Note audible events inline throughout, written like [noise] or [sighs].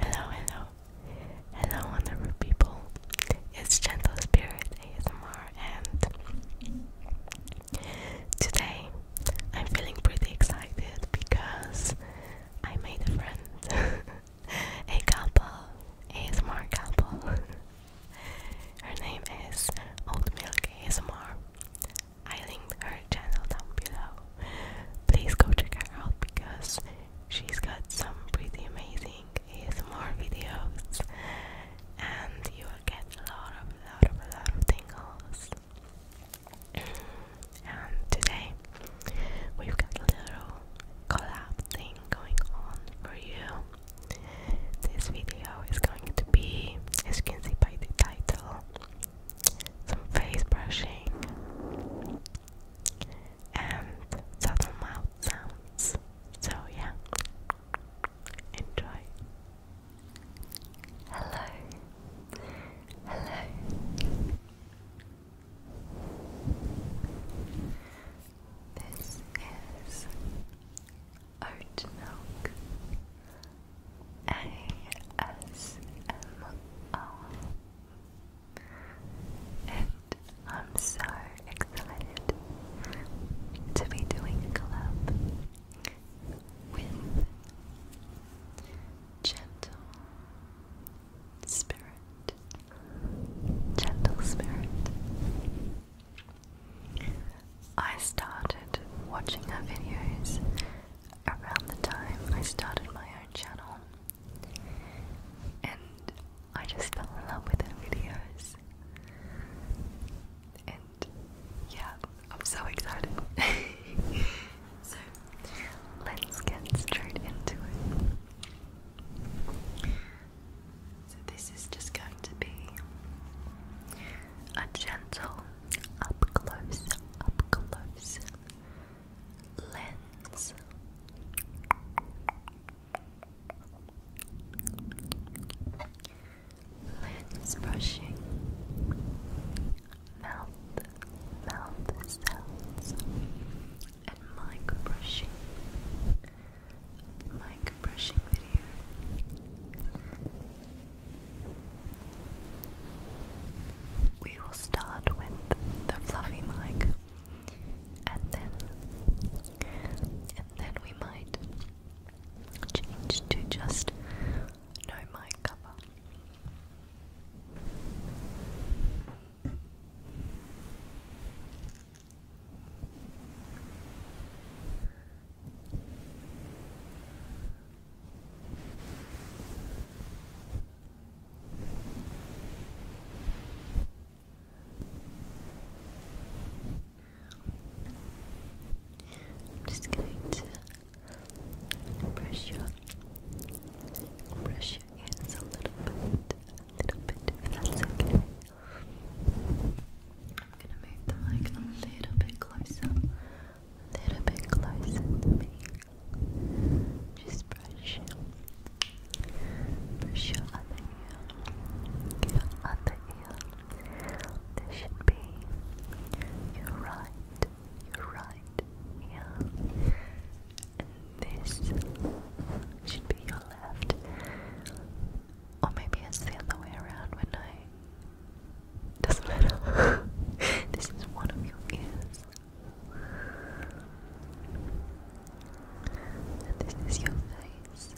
Hello, hello, hello, wonderful people. It's Gentle Spirit ASMR, and today I'm feeling pretty excited because I made a friend, [laughs] a couple, ASMR couple. [laughs] Her name is Old Milk ASMR. I linked her channel down below. Please go check her out because she's got some pretty amazing ASMR videos and you will get a lot of lot of a lot of tingles. and today we've got a little collab thing going on for you. This video is going to be, as you can see by the title, some face brushing, and subtle mouth sounds. So, yeah, enjoy. Hello, hello. This is oat milk ASMR. And I'm so excited to be doing a collab with Gentle Spirit. Gentle Spirit. I started watching her videos around the time I started my own channel, and I just fell in love with her videos. And yeah, I'm so excited. [laughs] so let's get straight into it. So, this is just going to be a gentle up close, up close lens. Lens brushing, mouth, mouth sounds, and mic brushing, mic brushing video, we will start with the fluffy mic and then and then we might change to just no mic cover. I'm just going to brush your brush your ears a little bit, a little bit if that's okay. I'm gonna move the mic a little bit closer a little bit closer to me. Just brush, brush your other ear, your This should be your right, your right ear, and this should be your left. Or maybe it's the other way around when I doesn't matter. [laughs] this is one of your ears. And this is your face.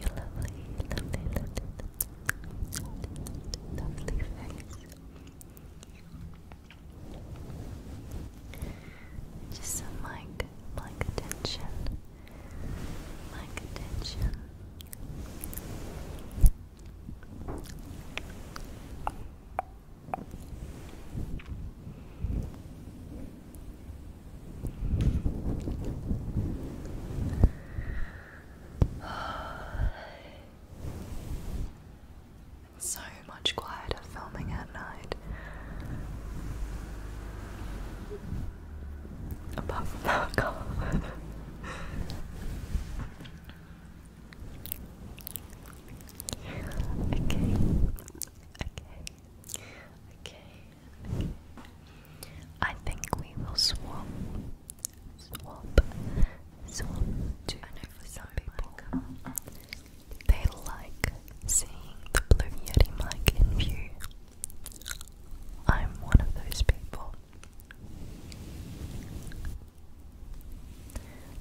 Your lovely, lovely, lovely, lovely face. Just some mic, mic attention my contention. [sighs] so much quieter filming at night okay. okay. Okay. I think we will swap. Swap. Swap I know for some people. They like seeing the blue Yeti mic in view. I'm one of those people.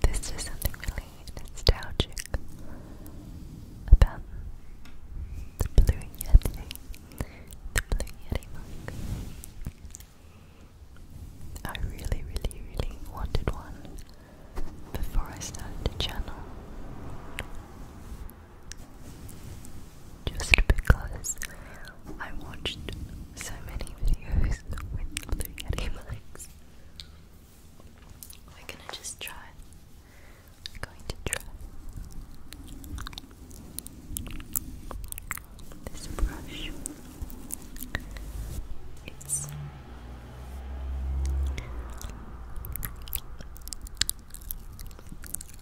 This is something really nostalgic about the Blue Yeti, the Blue Yeti mug. I really, really, really wanted one before I started the channel. Just because I watched so many videos with blue yeti We're gonna just try. I'm going to try this brush. It's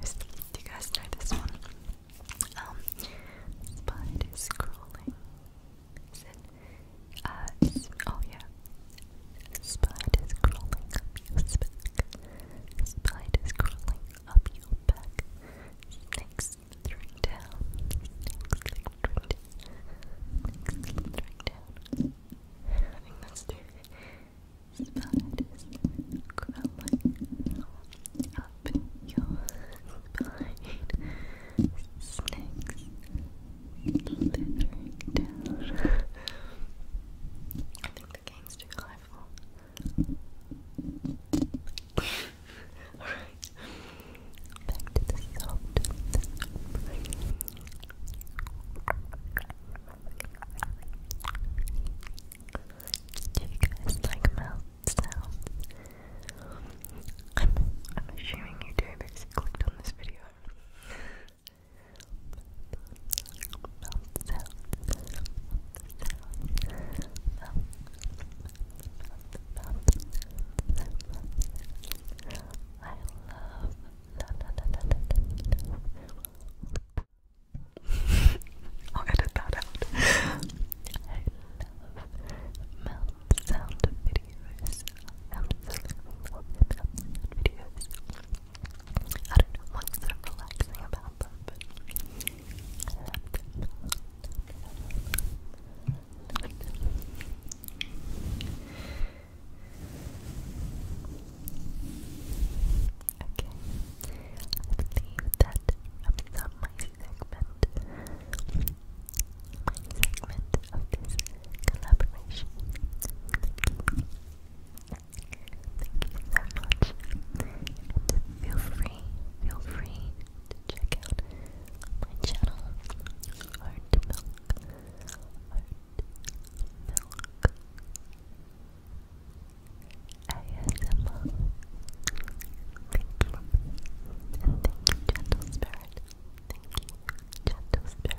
this. Do you guys know this one? Um, spiders crawling. Uh, oh yeah. Spiders crawling up your back. Spiders crawling up your back. Snakes slithering down. Snakes slithering down spiders crawling up your spine, snakes slithering down. I think the game's too high for. Alright, back to the soft. Do you guys like mouth sounds? I'm, I'm assuming you do because you clicked on this video. mouth sounds. I love, [laughs] I'll edit that out. I love mouth videos. I absolutely love mouth sound videos. I don't know what's so relaxing about them. Okay. I believe my segment. My segment of this collaboration. Thank you so much. feel free, feel free to check out my channel, Art Milk. Art Milk. ASMR. Thank you. And thank you, Gentle Spirit. Thank you, Gentle Spirit.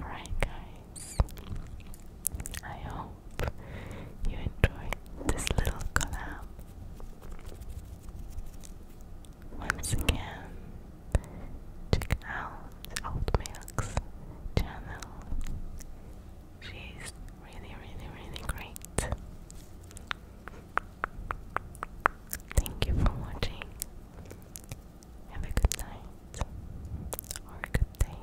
Alright, guys, I hope you enjoyed this little collab. Once again, check out Old Milk's channel. She's really, really, really great. Thank you for watching. Have a good night or a good day.